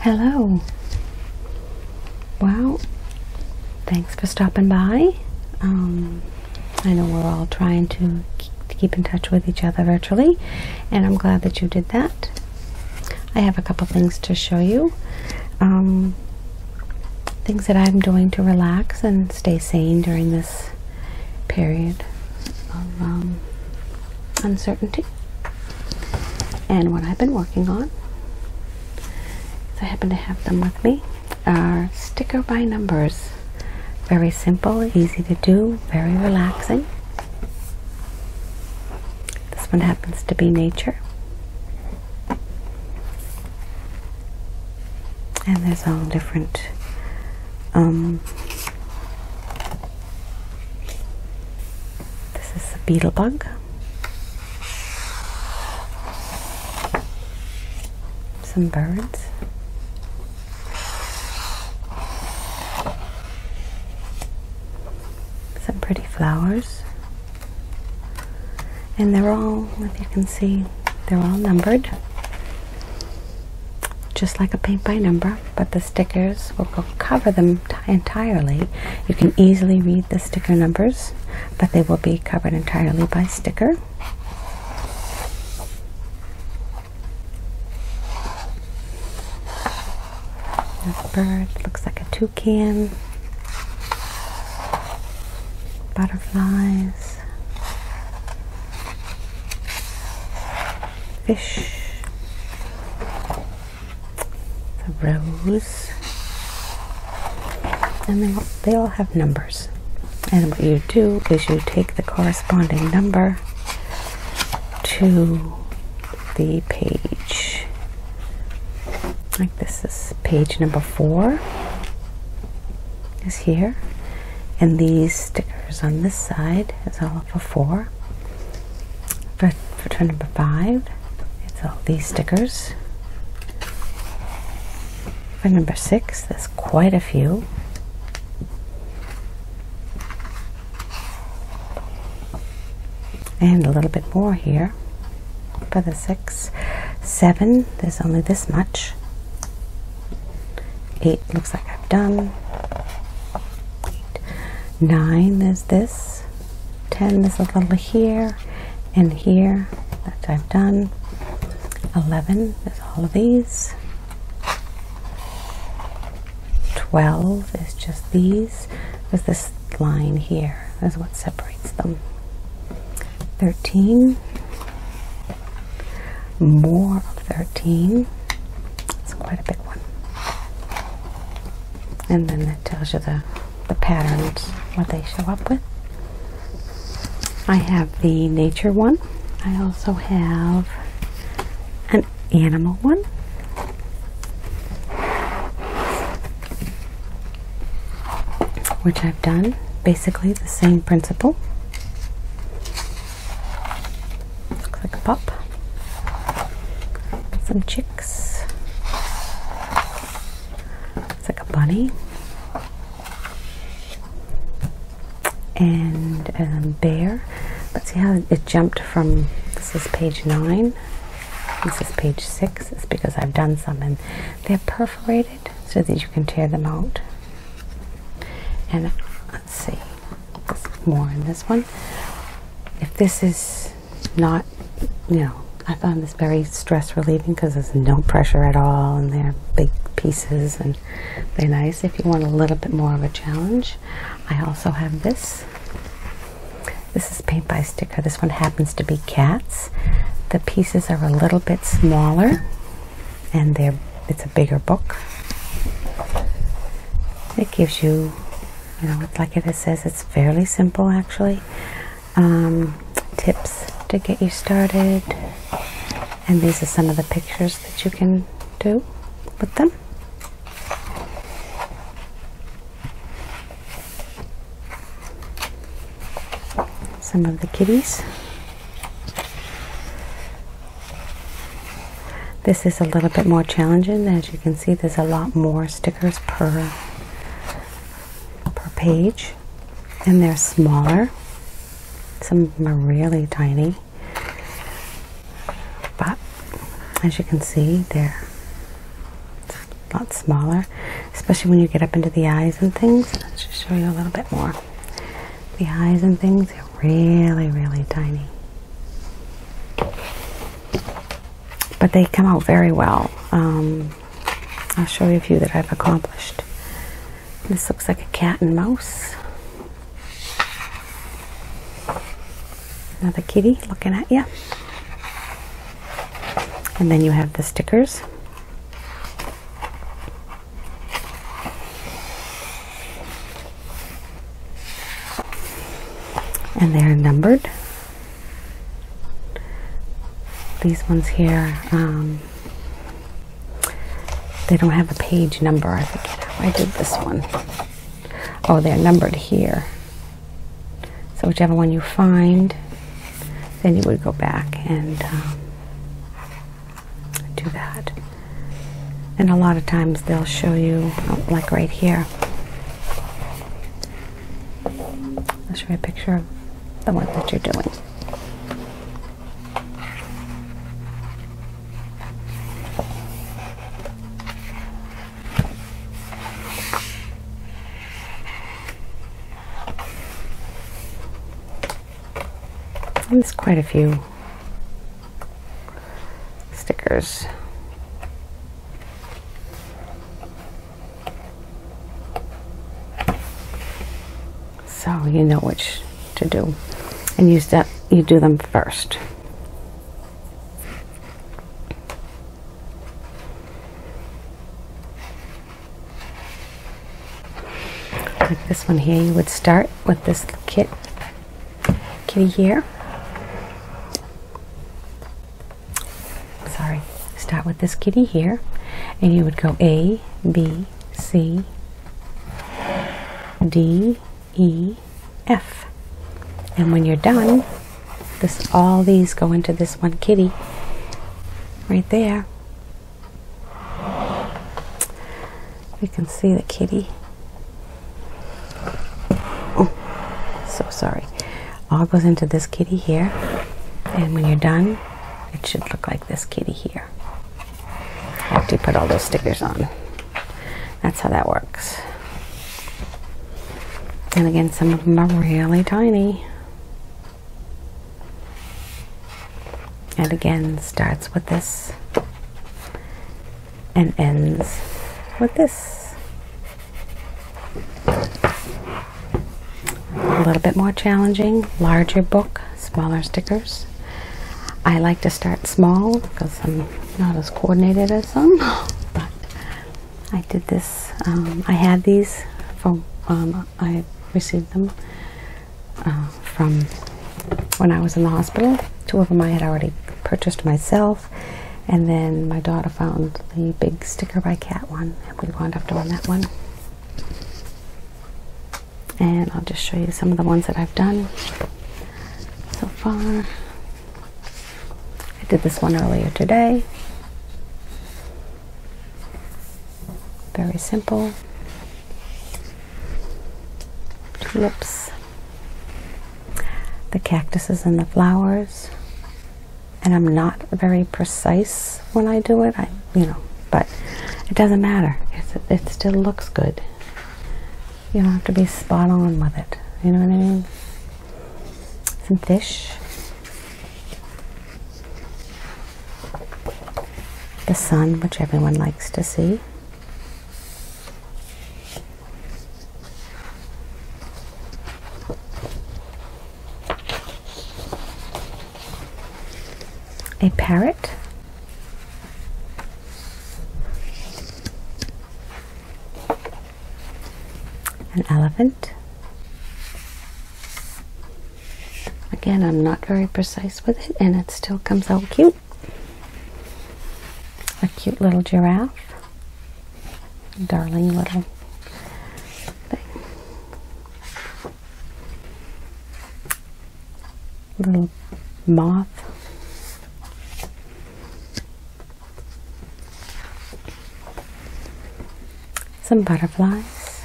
Hello. Wow. Thanks for stopping by. Um, I know we're all trying to keep in touch with each other virtually, and I'm glad that you did that. I have a couple things to show you. Um, things that I'm doing to relax and stay sane during this period of um, uncertainty. And what I've been working on, I happen to have them with me, are sticker by numbers. Very simple, easy to do, very relaxing. This one happens to be nature and there's all different um, this is the beetle bug some birds some pretty flowers and they're all if you can see they're all numbered just like a paint by number but the stickers will cover them entirely you can easily read the sticker numbers but they will be covered entirely by sticker there's a bird, looks like a toucan. Butterflies. Fish. The rose. And they all, they all have numbers. And what you do is you take the corresponding number to the page. Like this is page number four, is here. And these stickers on this side is all for four. For, for number five, it's all these stickers. For number six, there's quite a few and a little bit more here for the six seven there's only this much eight looks like I've done nine there's this ten there's a little here and here that I've done 11 there's all of these 12 is just these there's this line here is what separates them. 13, more of 13. It's quite a big one. And then that tells you the, the patterns, what they show up with. I have the nature one. I also have an animal one which I've done basically the same principle. Looks like a pop. Some chicks. It's like a bunny. And a um, bear. But see how it jumped from this is page nine this is page six. It's because I've done some and they're perforated so that you can tear them out. And let's see, more in this one. If this is not, you know, I find this very stress relieving because there's no pressure at all and they're big pieces and they're nice if you want a little bit more of a challenge. I also have this this is paint by sticker. This one happens to be cats. The pieces are a little bit smaller and it's a bigger book. It gives you, you know, like it says, it's fairly simple actually. Um, tips to get you started. And these are some of the pictures that you can do with them. Some of the kitties. This is a little bit more challenging. As you can see, there's a lot more stickers per, page. And they're smaller. Some of them are really tiny. But as you can see, there a lot smaller, especially when you get up into the eyes and things. Let's just show you a little bit more. The eyes and things are really, really tiny. But they come out very well. Um, I'll show you a few that I've accomplished. This looks like a cat and mouse. Another kitty looking at you. And then you have the stickers. And they're numbered. These ones here, um, they don't have a page number. I forget how I did this one. Oh, they're numbered here. So whichever one you find, then you would go back and um, do that. And a lot of times they'll show you, like right here. I'll show you a picture of the one that you're doing. There's quite a few stickers. So you know which to do. And you do them first. Like this one here, you would start with this kitty here. Sorry, start with this kitty here, and you would go A, B, C, D, E, F. And when you're done, this all these go into this one kitty right there. You can see the kitty. Oh, so sorry. All goes into this kitty here. And when you're done, it should look like this kitty here. After you put all those stickers on. That's how that works. And again, some of them are really tiny. And again, starts with this and ends with this. A little bit more challenging, larger book, smaller stickers. I like to start small because I'm not as coordinated as some, but I did this. Um, I had these from. Um, I received them uh, from when I was in the hospital. Two of them I had already purchased myself, and then my daughter found the big sticker by Cat one, and we wound up doing that one. And I'll just show you some of the ones that I've done so far. I did this one earlier today. Very simple. Tulips, the cactuses and the flowers. And I'm not very precise when I do it. I, you know, but it doesn't matter. it still looks good. You don't have to be spot on with it. You know what I mean? Some fish. The sun, which everyone likes to see. a parrot an elephant. Again, I'm not very precise with it, and it still comes out cute. A cute little giraffe. Darling little thing. Little moth. Some butterflies.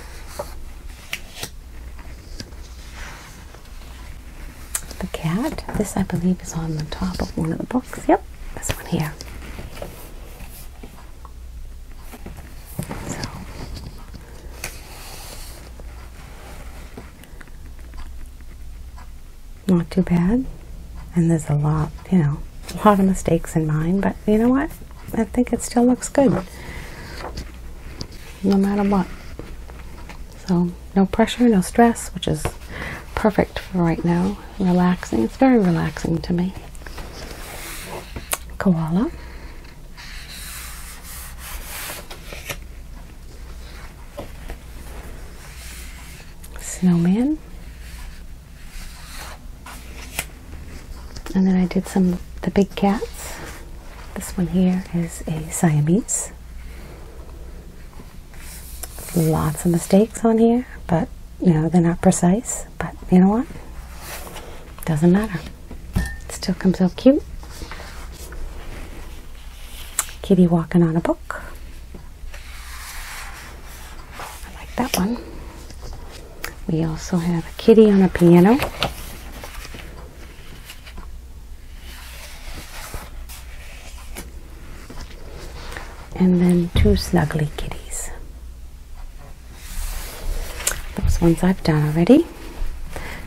The cat. This, I believe, is on the top of one of the books. Yep, this one here not too bad. And there's a lot, you know, a lot of mistakes in mine, but you know what? I think it still looks good. No matter what. So, no pressure, no stress, which is perfect for right now. Relaxing. It's very relaxing to me. Koala snowman. And then I did some the big cats. This one here is a Siamese. Lots of mistakes on here, but you know, they're not precise, but you know what? Doesn't matter. It still comes out cute. Kitty walking on a book. I like that one. We also have a kitty on a piano. And then two snuggly kitties. Those ones I've done already.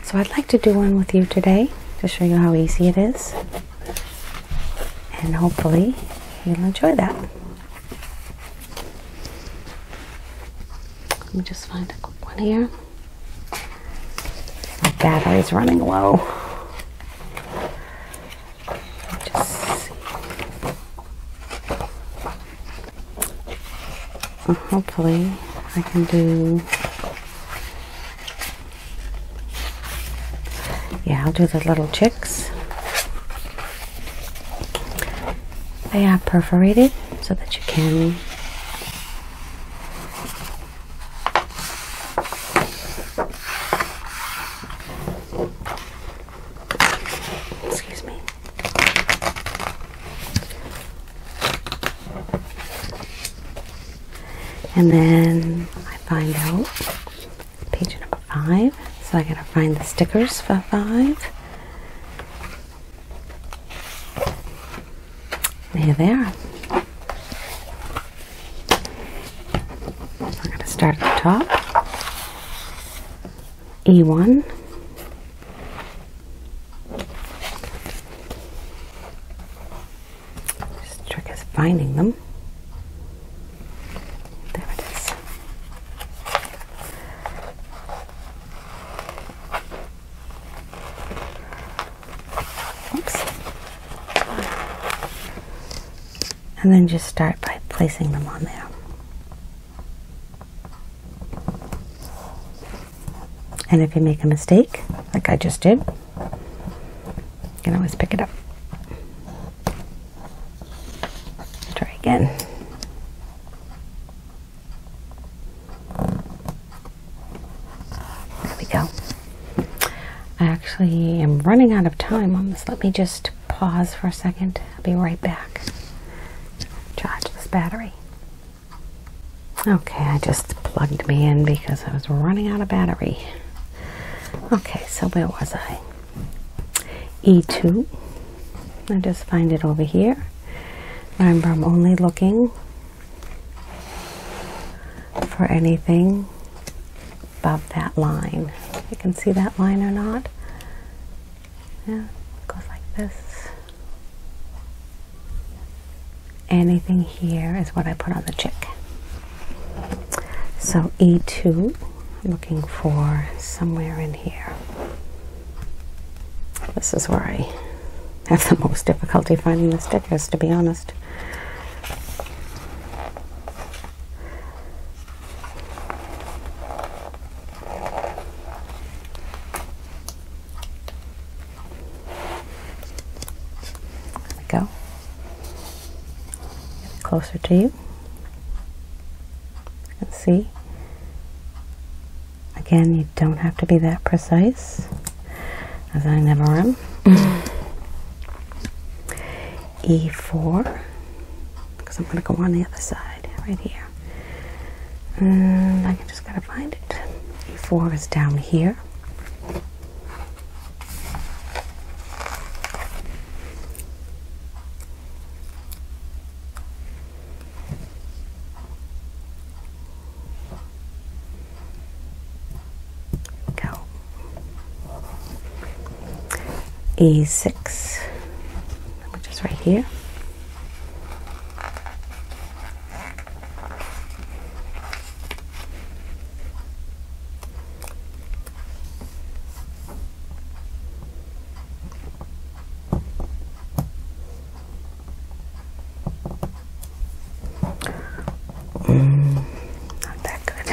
So I'd like to do one with you today to show you how easy it is and hopefully you'll enjoy that. Let me just find a quick one here. My battery's running low. Well, hopefully I can do yeah I'll do the little chicks they are perforated so that you can excuse me and then I find out page number five. So I gotta find the stickers for five. There they are. We're gonna start at the top. E1. Just trick is finding them. There it is. Oops. And then just start by placing them on there. And if you make a mistake, like I just did, can always pick it up. Try again. There we go. I actually am running out of time on this. Let me just pause for a second. I'll be right back. Charge this battery. Okay, I just plugged me in because I was running out of battery. Okay, so where was I? E2. I just find it over here. Remember, I'm only looking for anything above that line. You can see that line or not? Yeah, it goes like this anything here is what I put on the chick. So E2, looking for somewhere in here. This is where I have the most difficulty finding the stickers, to be honest. There we go. Get closer to you. And see. Again, you don't have to be that precise, as I never am. E4, because I'm going to go on the other side, right here. And I just got to find it. E4 is down here. Go. E6, which is right here not that good.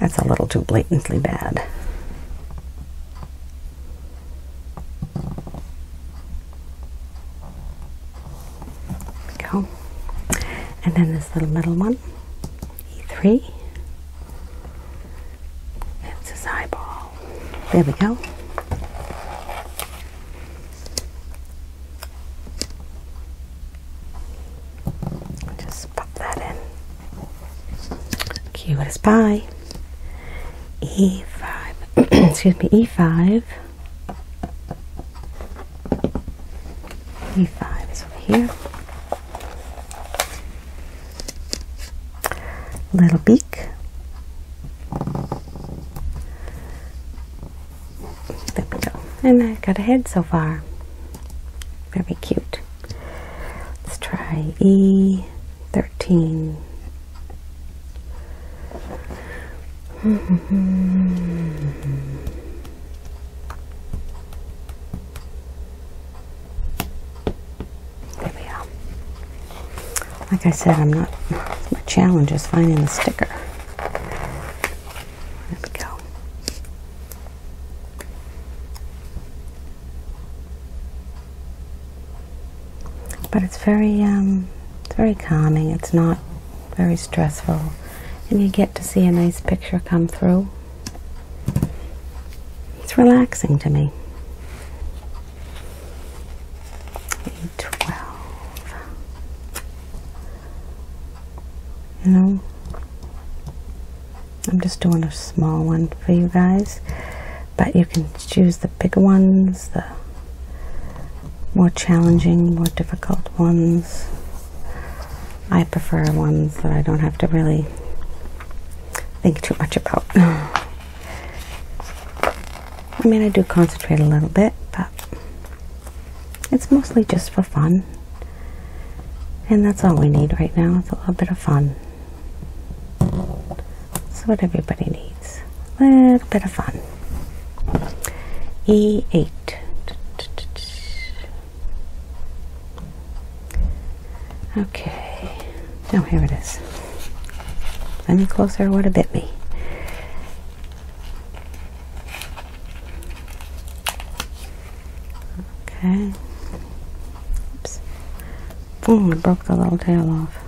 That's a little too blatantly bad go. And then this little middle one, E3. It's his eyeball. There we go. Just pop that in. Cute as pie. E5. Excuse me, E5. E5 is over here. Little beak. There we go. And I got a head so far. Very cute. Let's try E13 there we are. Like I said, I'm not, my challenge is finding the sticker. There we go. But it's very, um, it's very calming. It's not very stressful. And you get to see a nice picture come through. It's relaxing to me. 12. You I'm just doing a small one for you guys, but you can choose the bigger ones, the more challenging, more difficult ones. I prefer ones that I don't have to really think too much about. I mean, I do concentrate a little bit, but it's mostly just for fun. And that's all we need right now. It's a little bit of fun. That's what everybody needs little bit of fun. E8. Okay. Now oh, here it is. Any closer would have bit me. Okay. Oops. Boom, broke the little tail off.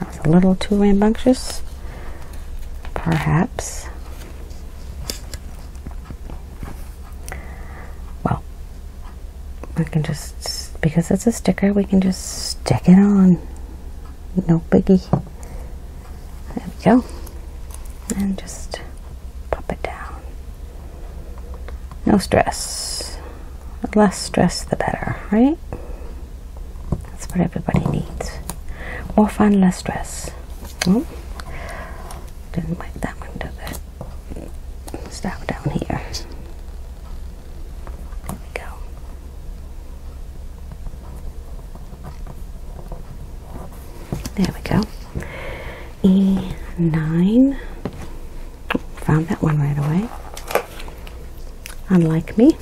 That was a little too rambunctious, perhaps. Well, I can just, because it's a sticker, we can just stick it on. No biggie. There we go. And just pop it down. No stress. less stress, the better, right? That's what everybody needs. More fun, less stress. Mm. Didn't like that one, did it? let down, here. There we go. There we go. E9. found that one right away. Unlike me.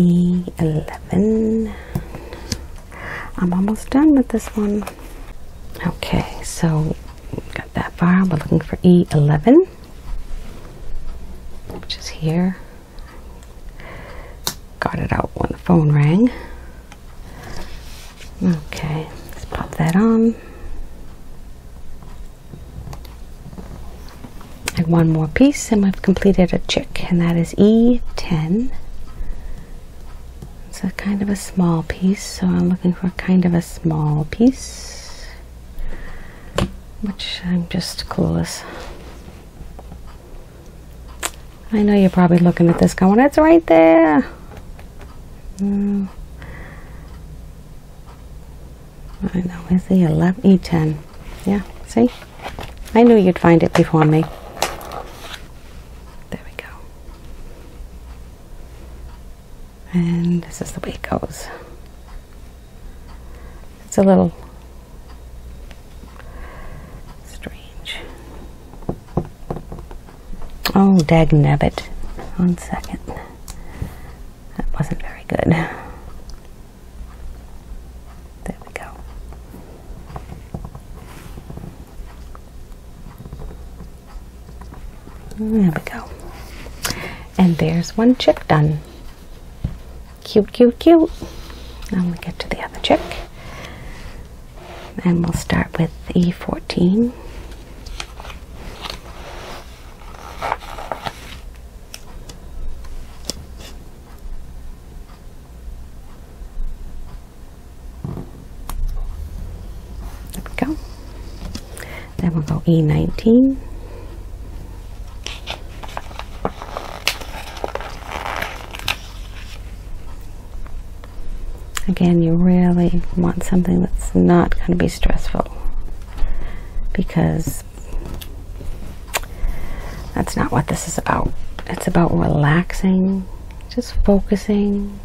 E11. I'm almost done with this one. Okay, so got that far. We're looking for E11, which is here. Got it out when the phone rang. Okay, let's pop that on. And one more piece and we've completed a chick and that is E10. It's a kind of a small piece, so I'm looking for kind of a small piece, which I'm just clueless. I know you're probably looking at this going, it's right there. Mm. I know, is the 11, E10. Yeah, see? I knew you'd find it before me. There we go. And this is the way it goes. It's a little strange. Oh, dag nabbit. One second. That wasn't very good. There we go. There we go. And there's one chick done. Cute, cute, cute. Now we get to the other chick and we'll start with E14. go. Then we'll go E19. Again, you really want something that's not going to be stressful because that's not what this is about. It's about relaxing, just focusing,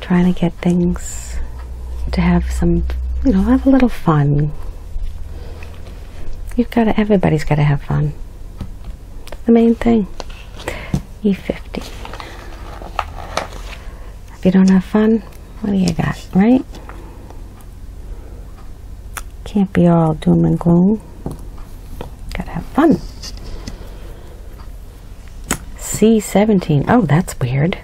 trying to get things to have some, you know, have a little fun. You've got to, everybody's got to have fun the main thing. E50. If you don't have fun, what do you got, right? Can't be all doom and gloom. Gotta have fun. C17. Oh, that's weird.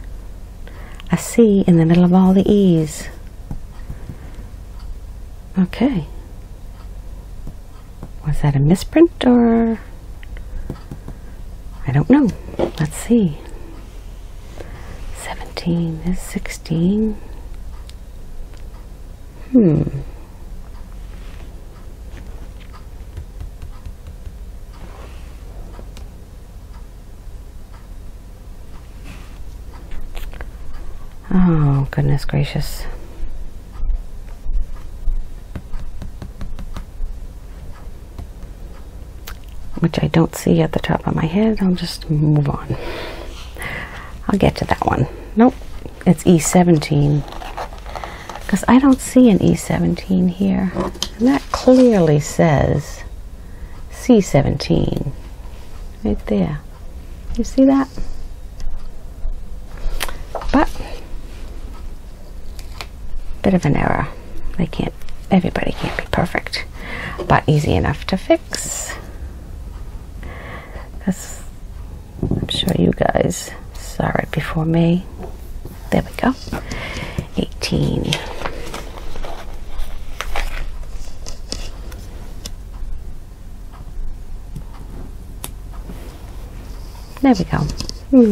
A C in the middle of all the E's. Okay. Was that a misprint or? I don't know. Let's see. 17 is 16. Hmm. Oh, goodness gracious. Which I don't see at the top of my head. I'll just move on. I'll get to that one. Nope, it's E17. Because I don't see an E17 here. And that clearly says C17 right there. You see that? But, bit of an error. They can't, everybody can't be perfect, but easy enough to fix. Because I'm sure you guys saw it before me. There we go. 18. There we go.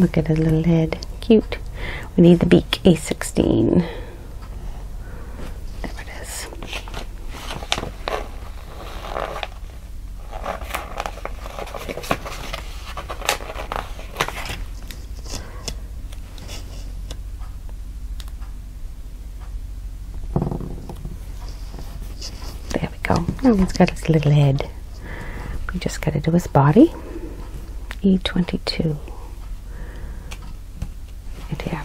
Look at his little head. Cute. We need the beak, A16. There it is we go. No one has got his little head. We just got to do his body. E22. Right here.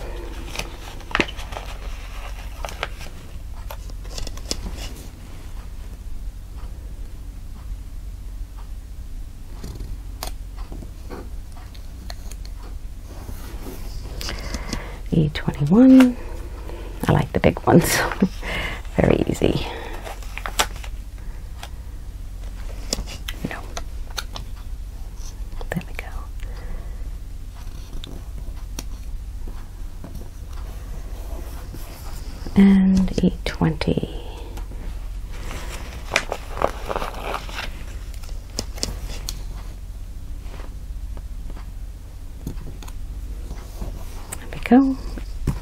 E21. I like the big ones. Very easy. No. There we go. And E20. There we go.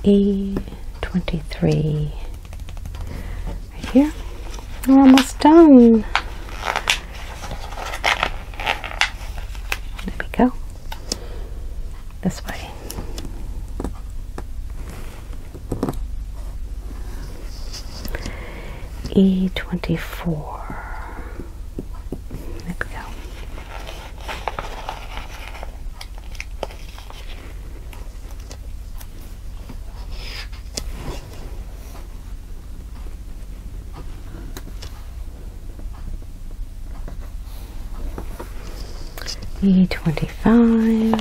E23 right here. We're almost done. There we go. This way. E24. E twenty five.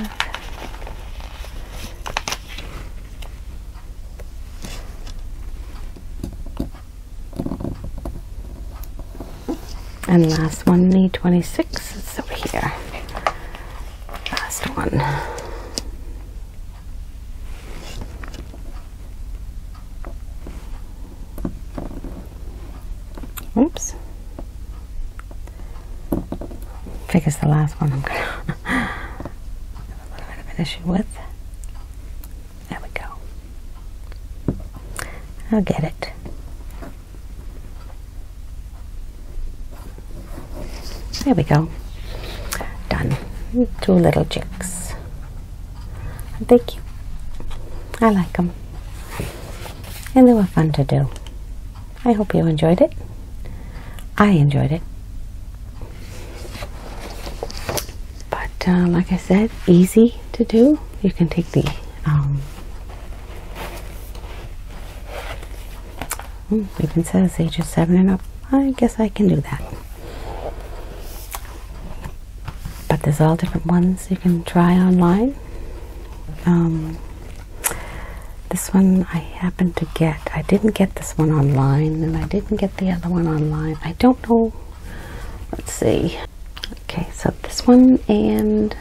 And last one, the 26, it's over here. Last one. Oops. I think it's the last one I'm gonna have a little bit of an issue with. There we go. I'll get it. There we go. Done. Two little chicks. Thank you. I like them. And they were fun to do. I hope you enjoyed it. I enjoyed it. But uh, like I said, easy to do. You can take the um, hmm, even says ages seven and up. I guess I can do that. But there's all different ones you can try online. Um, this one I happened to get. I didn't get this one online, and I didn't get the other one online. I don't know let's see okay so this one and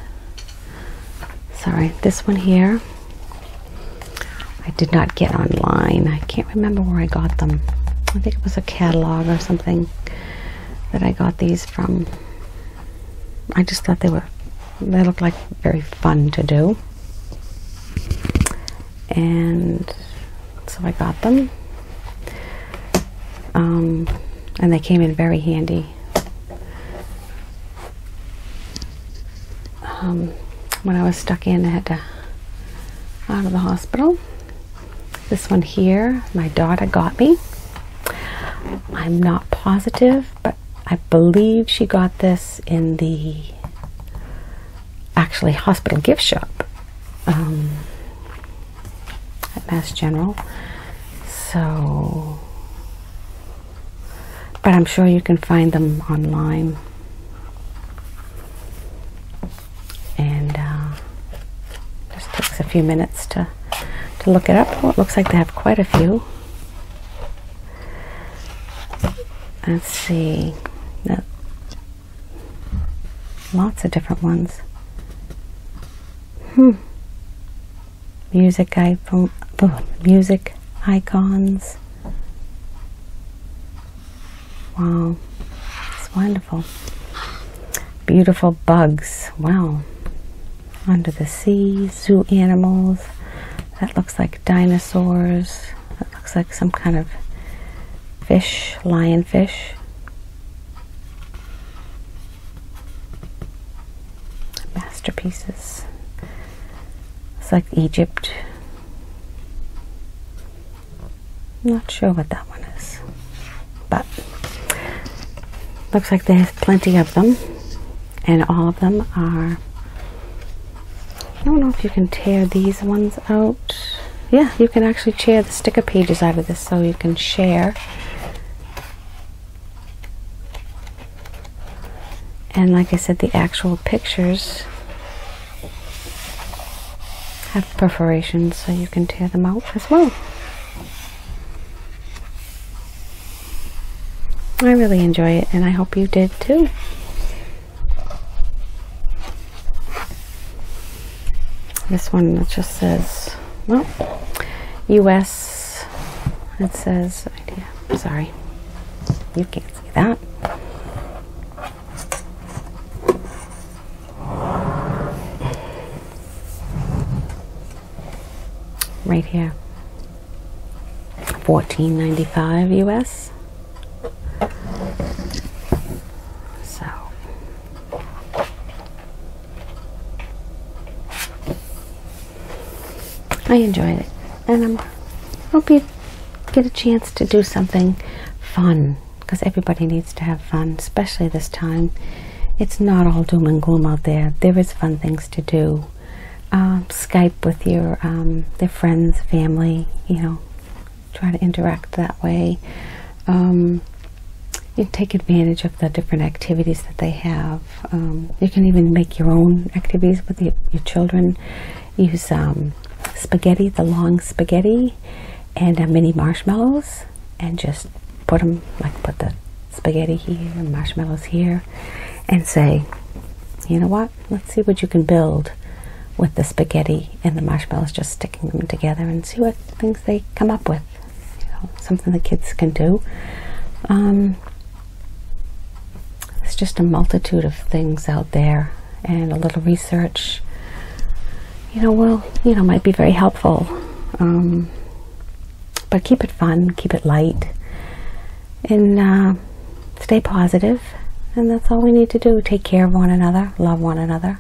sorry this one here I did not get online I can't remember where I got them I think it was a catalog or something that I got these from I just thought they were they looked like very fun to do and so I got them. Um, and they came in very handy. Um, when I was stuck in, I had to out of the hospital. This one here, my daughter got me. I'm not positive, but I believe she got this in the actually hospital gift shop um, at Mass General. So, but I'm sure you can find them online. And uh, just takes a few minutes to, to look it up. Well, it looks like they have quite a few. Let's see. Now, Lots of different ones. Hmm. Music iPhone, oh, music icons. Wow, it's wonderful. Beautiful bugs. Wow. Under the sea, zoo animals. That looks like dinosaurs. That looks like some kind of fish, lionfish. Masterpieces. It's like Egypt. Not sure what that one is, but looks like they have plenty of them, and all of them are I don't know if you can tear these ones out. Yeah, you can actually tear the sticker pages out of this so you can share. And like I said, the actual pictures have perforations so you can tear them out as well. I really enjoy it and I hope you did too. This one just says, well, US, it says, idea. I'm sorry, you can't see that. Right here, 14.95 US. So I enjoyed it, and I hope you get a chance to do something fun because everybody needs to have fun, especially this time. It's not all doom and gloom out there. There is fun things to do. Um, Skype with your um, friends, family, you know, try to interact that way. Um, you take advantage of the different activities that they have. Um, you can even make your own activities with your children. Use um, spaghetti, the long spaghetti, and uh, mini marshmallows, and just put them like put the spaghetti here and marshmallows here, and say, you know what? Let's see what you can build with the spaghetti and the marshmallows, just sticking them together and see what things they come up with. You know, something the kids can do. Um, it's just a multitude of things out there and a little research, you know, well, you know, might be very helpful. Um, but keep it fun, keep it light, and uh, stay positive, and that's all we need to do. Take care of one another, love one another,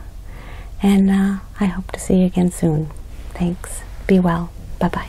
and uh, I hope to see you again soon. Thanks. Be well. Bye bye.